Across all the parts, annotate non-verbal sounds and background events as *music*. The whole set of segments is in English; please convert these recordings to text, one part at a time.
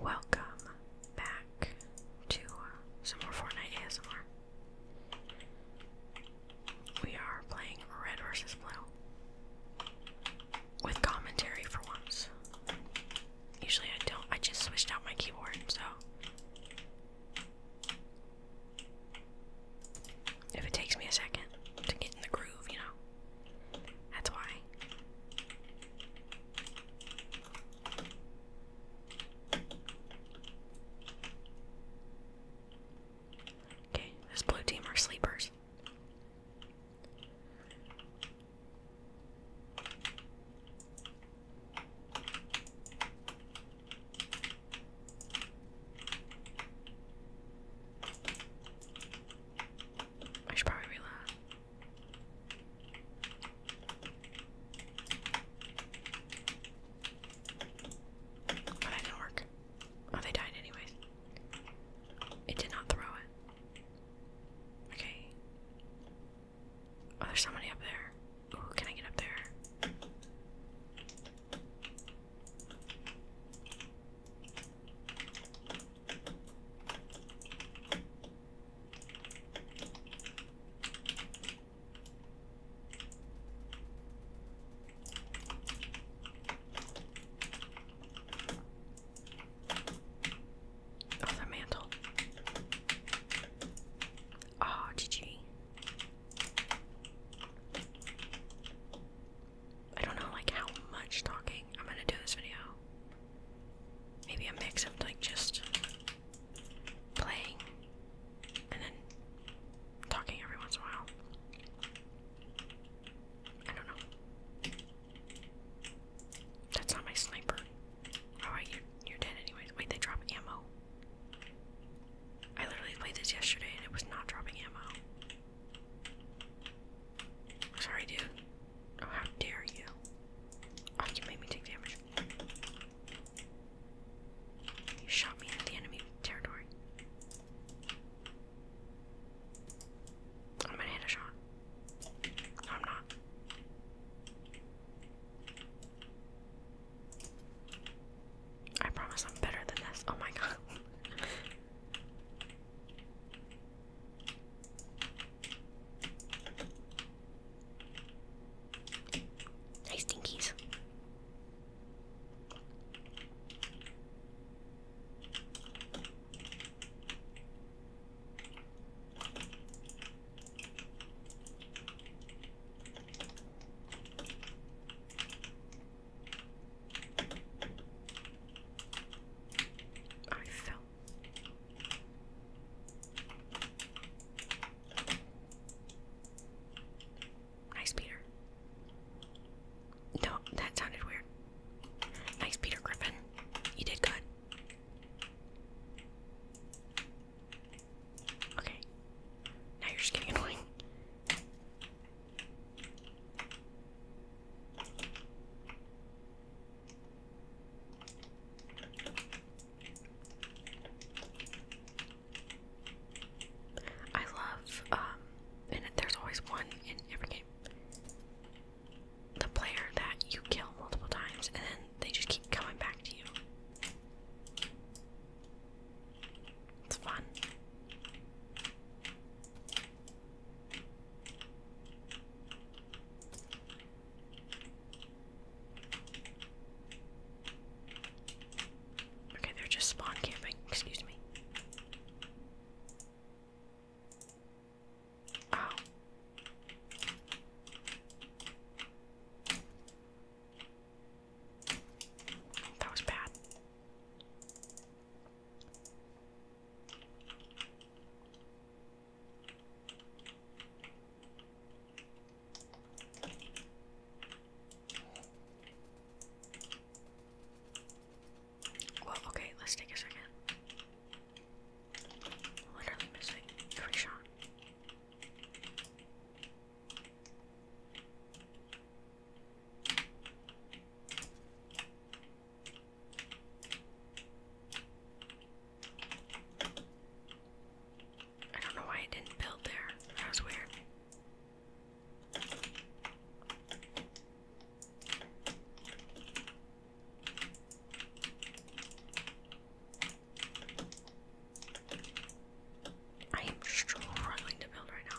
Welcome back to some more Fortnite ASMR. We are playing Red versus Blue with commentary for once. Usually I don't, I just switched out my keyboard, so if it takes me a second to get in the groove, you know, that's why. Okay, this blue team are sleepers. I should probably reload. But that didn't work. Oh, they died anyways. It did not throw it. Okay. Oh, there's somebody up there. can I get up there? Oh, the mantle. Oh, ah, GG. I don't know like how much talking I'm gonna do this video. Maybe a mix of like just playing and then talking every once in a while. I don't know. That's not my sniper. Alright, oh, you're, you're dead anyways. Wait, they drop ammo. I literally played this yesterday and it was not dropping ammo. Sorry, dude. Oh, how dare you! Oh, you made me take damage. You shot me at the enemy territory. I'm gonna hit shot. I'm not. I promise I'm better than this. Oh my god. *laughs* Nice dinkies. I fell Nice, Peter. No, that sounded weird. Nice, Peter Griffin. You did good. Okay. Now you're just getting annoying. I love, um, and there's always one in every game. The player that you kill multiple times and then they just keep coming back to you. It's fun. Okay, they're just spawn camping. Excuse me. Ow. Oh. That was bad okay, let's take a second. Literally missing every shot. I don't know why I didn't build there. That was weird. I am struggling to build right now.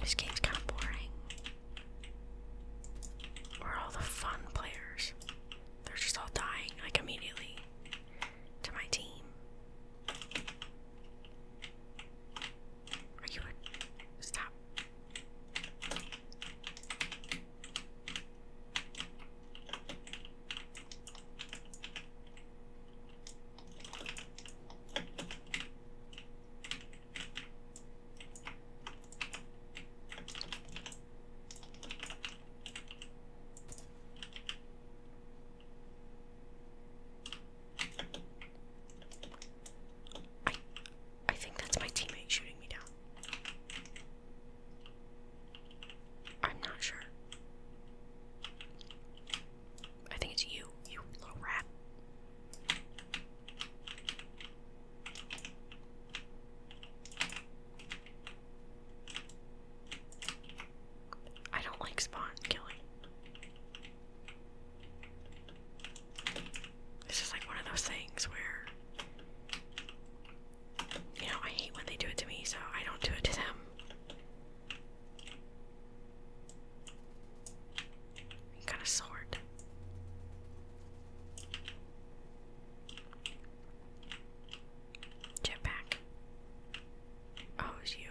this game's kind of boring. Where are all the fun players? They're just all dying, like, immediately to my team. Are you Stop. I, I think that's my teammate shooting me down. I'm not sure. I think it's you, you little rat. I don't like spawn killing. This is like one of those things where you know, I hate when they do it to me, so I don't do it to them. Got a sword. Jetpack. Oh, it's you.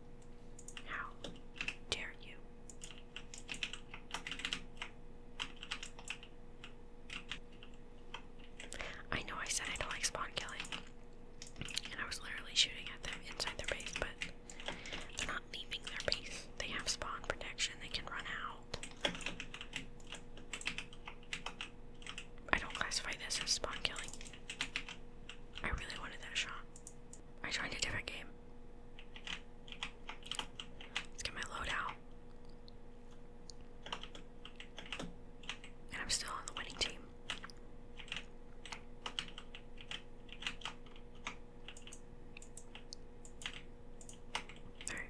How dare you? I know I said I don't like spawn killing, and I was literally shooting at them inside their base, but they're not leaving their base. They have spawn protection, they can run out. I don't classify this as spawn killing. I really wanted that shot. I joined a different game Let's get my load out. And I'm still on the winning team. Alright.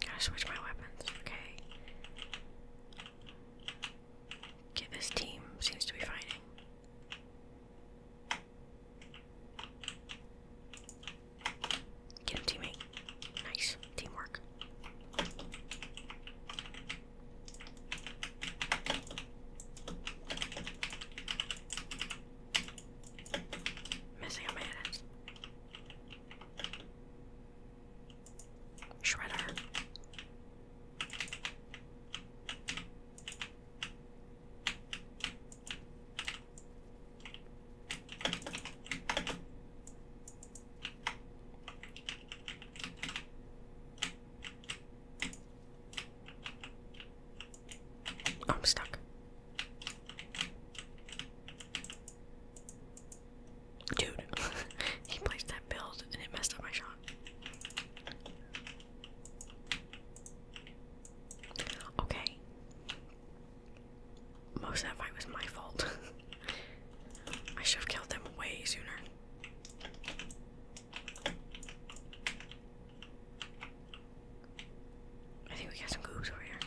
Gotta switch my weapons, okay. Get this team seems to be fighting. Get him, teammate. Nice. Teamwork. Missing a man. Shredder. Oh, I'm stuck. Dude, *laughs* he placed that build and it messed up my shot. Okay. Most of that fight was my fault. *laughs* I should have killed them way sooner. I think we got some goobs over here.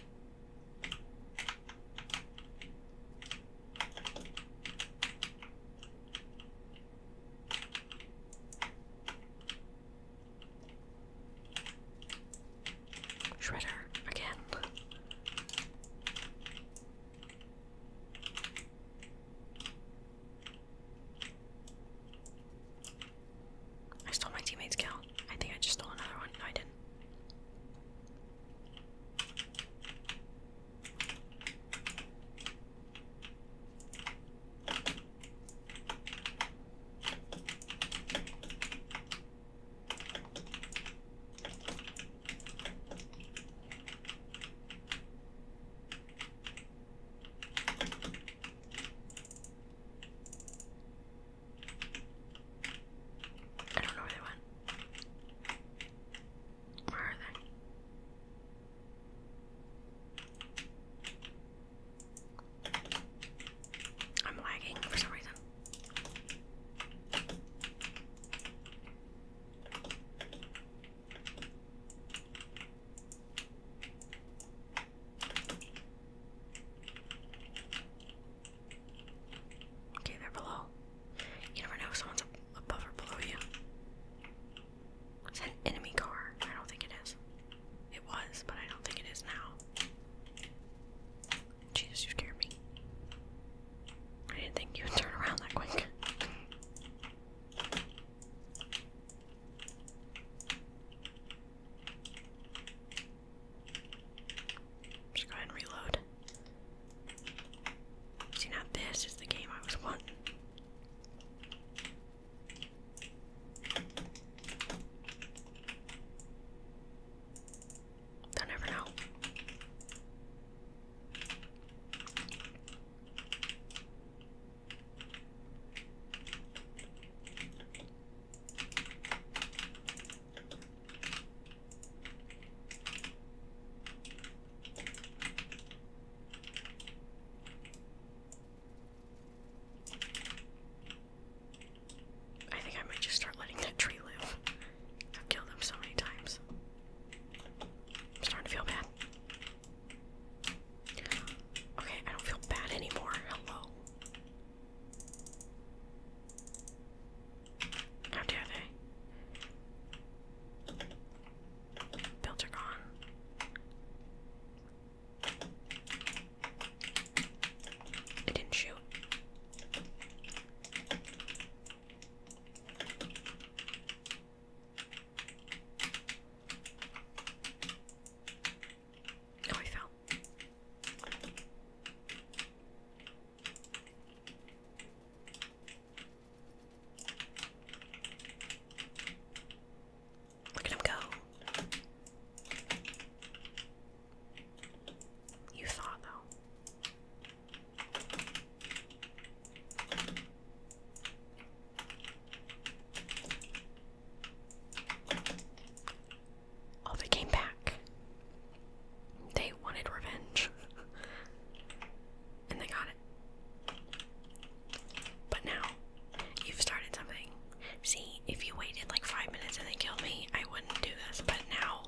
Shredder again. I stole my teammate's kill. I think I just stole another one. No, I didn't. I don't know where they went. Where are they? I'm lagging for some reason. Okay, they below. You never know if someone's above or below you. Is that enemy car? I don't think it is. It was, but I don't think it is now. Jesus, you scared me. I didn't think you would turn around that quick. Just go ahead and reload. See, now this is the game I was wanting. They'll never know. I think I might just start letting that tree live. I've killed them so many times. I'm starting to feel bad. Okay, I don't feel bad anymore. Hello. How dare they? Built gone. I didn't shoot. Oh, Look at him go. You thought, though. Oh, they came back. They wanted revenge. and they got it. But now, you've started something. See, if you waited like five minutes and they killed me, I wouldn't do this. But now,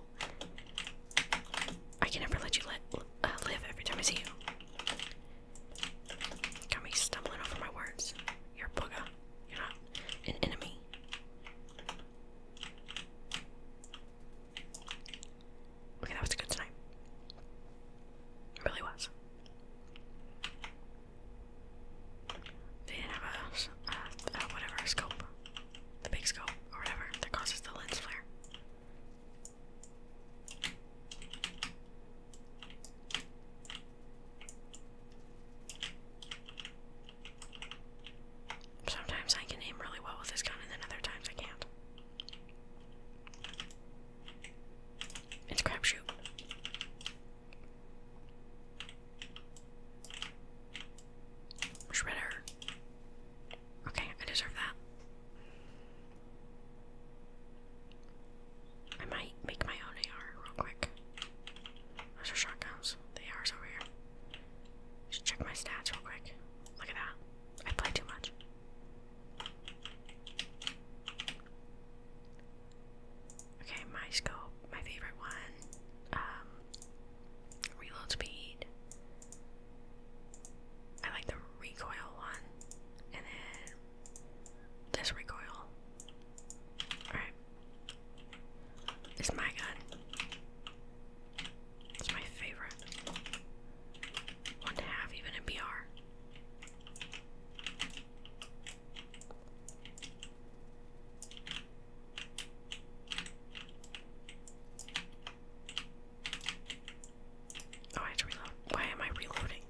I can never let you let, uh, live every time I see you. Got me stumbling over my words. You're booga you an enemy. Okay, that was a good snipe. It really was. They didn't have a, whatever, scope. The big scope, or whatever, that causes the lens flare. Sometimes I can aim really well with this gun, and then other times I can't. It's crapshoot. Shredder. Okay, I deserve that. I might make my own AR real quick. Those are shotguns. The AR's over here. Just check my stats real quick. Look at that. I play too much. Okay, my scope, my favorite one. Um, reload speed. I like the recoil one. And then this recoil. Alright. It's my gun. It's my favorite. One to have, even in BR. Oh, I had to reload. Why am I reloading?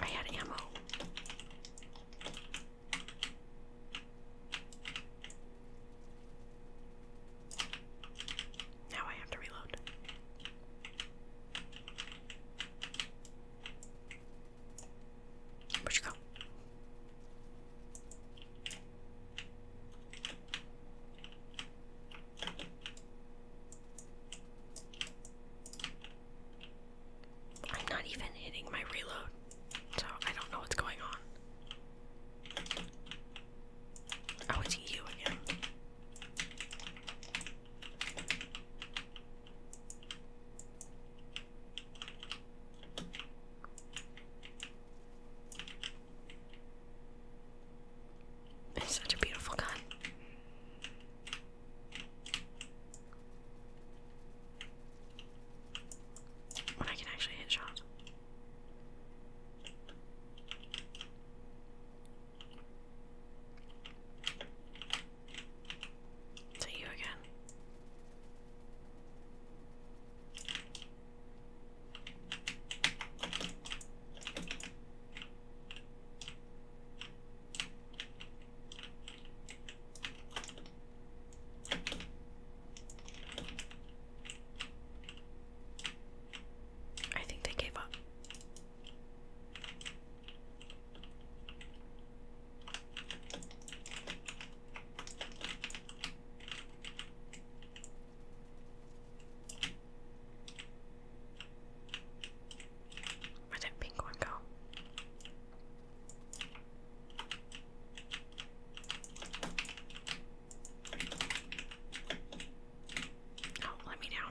I had ammo. Now I have to reload. Where'd you go? I'm not even hitting my reload, so I don't know what's going on. Oh, it's you again. It's such a beautiful gun. When I can actually hit shots. To you again. I think they gave up where did that pink one go? Oh, let me down.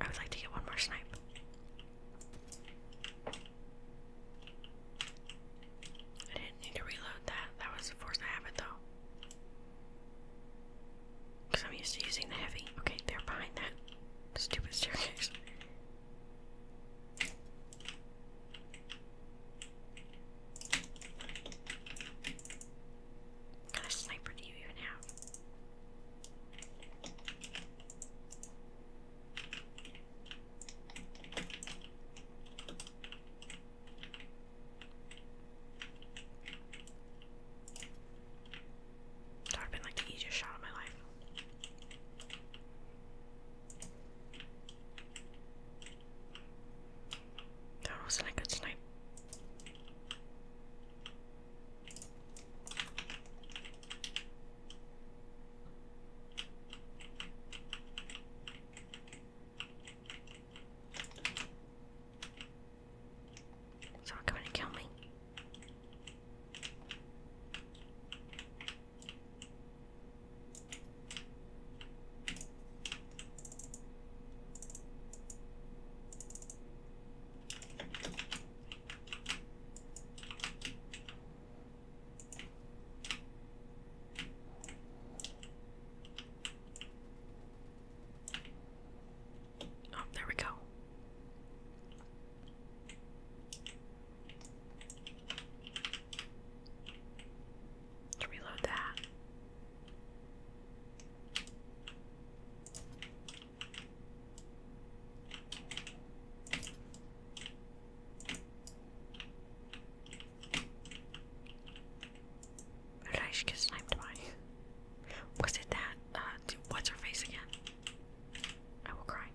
I would like to get one more snipe. I didn't need to reload that. That was a force habit, though. Because I'm used to using the heavy. Okay, they're behind that stupid staircase. What kind sniper do you even That would have been like the easiest shot of my life. That wasn't a sniper. Someone coming to kill me. Oh, there we go. reload that. Who did I by? Was it that? Uh, what's her face again? I will cry.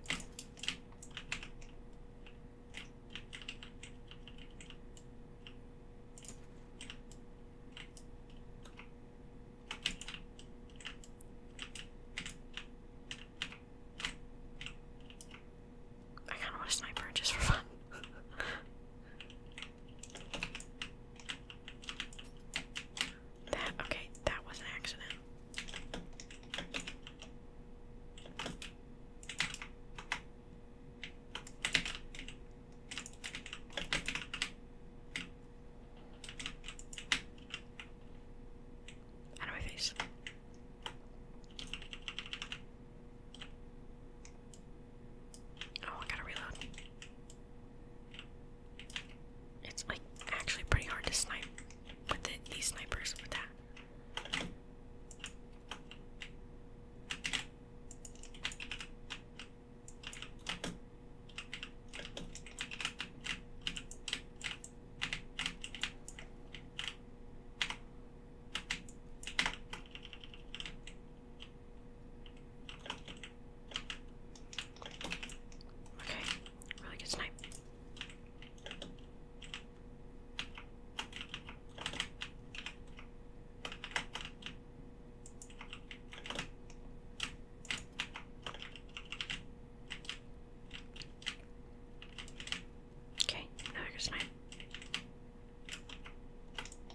I kind of want to sniper just for fun. *laughs* that, okay, that was an accident. Out of my face. Oh, I gotta reload. It's like actually pretty hard to snipe with these snipers with that. Okay, really good snipe. Okay, now I can snipe.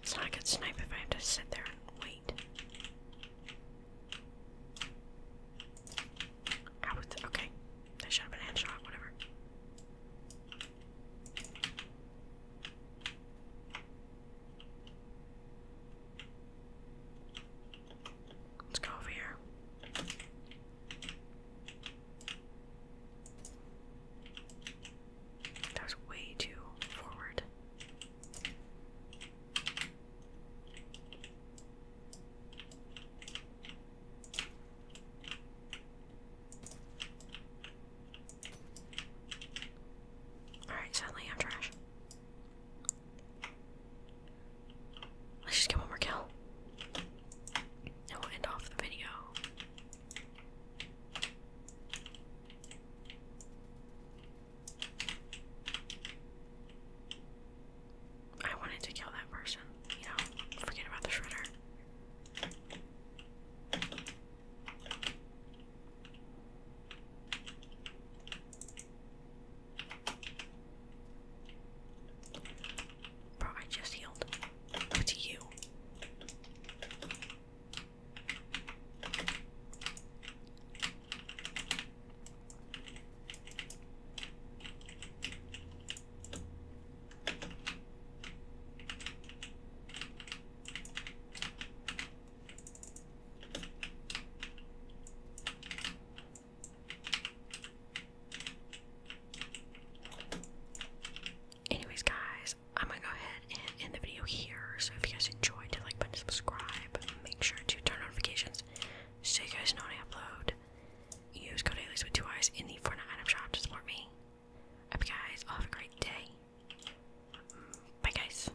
It's not a good snipe if I have to sit there and wait. How would okay. That should have been headshot, whatever. Let's go over here. That was way too forward. Alright, suddenly I'm trash. Let's just get one more kill. And we'll end off the video. I wanted to kill that person, you know, forget about the shredder. Bro, I just healed. What's you? Anyways, guys, I'm gonna go ahead and end the video here. So if you guys enjoyed, hit like button, subscribe. Make sure to turn notifications so you guys know when I upload. Use code Alias with two eyes in the Fortnite item shop to support me. Hope you guys all have a great day. Bye, guys.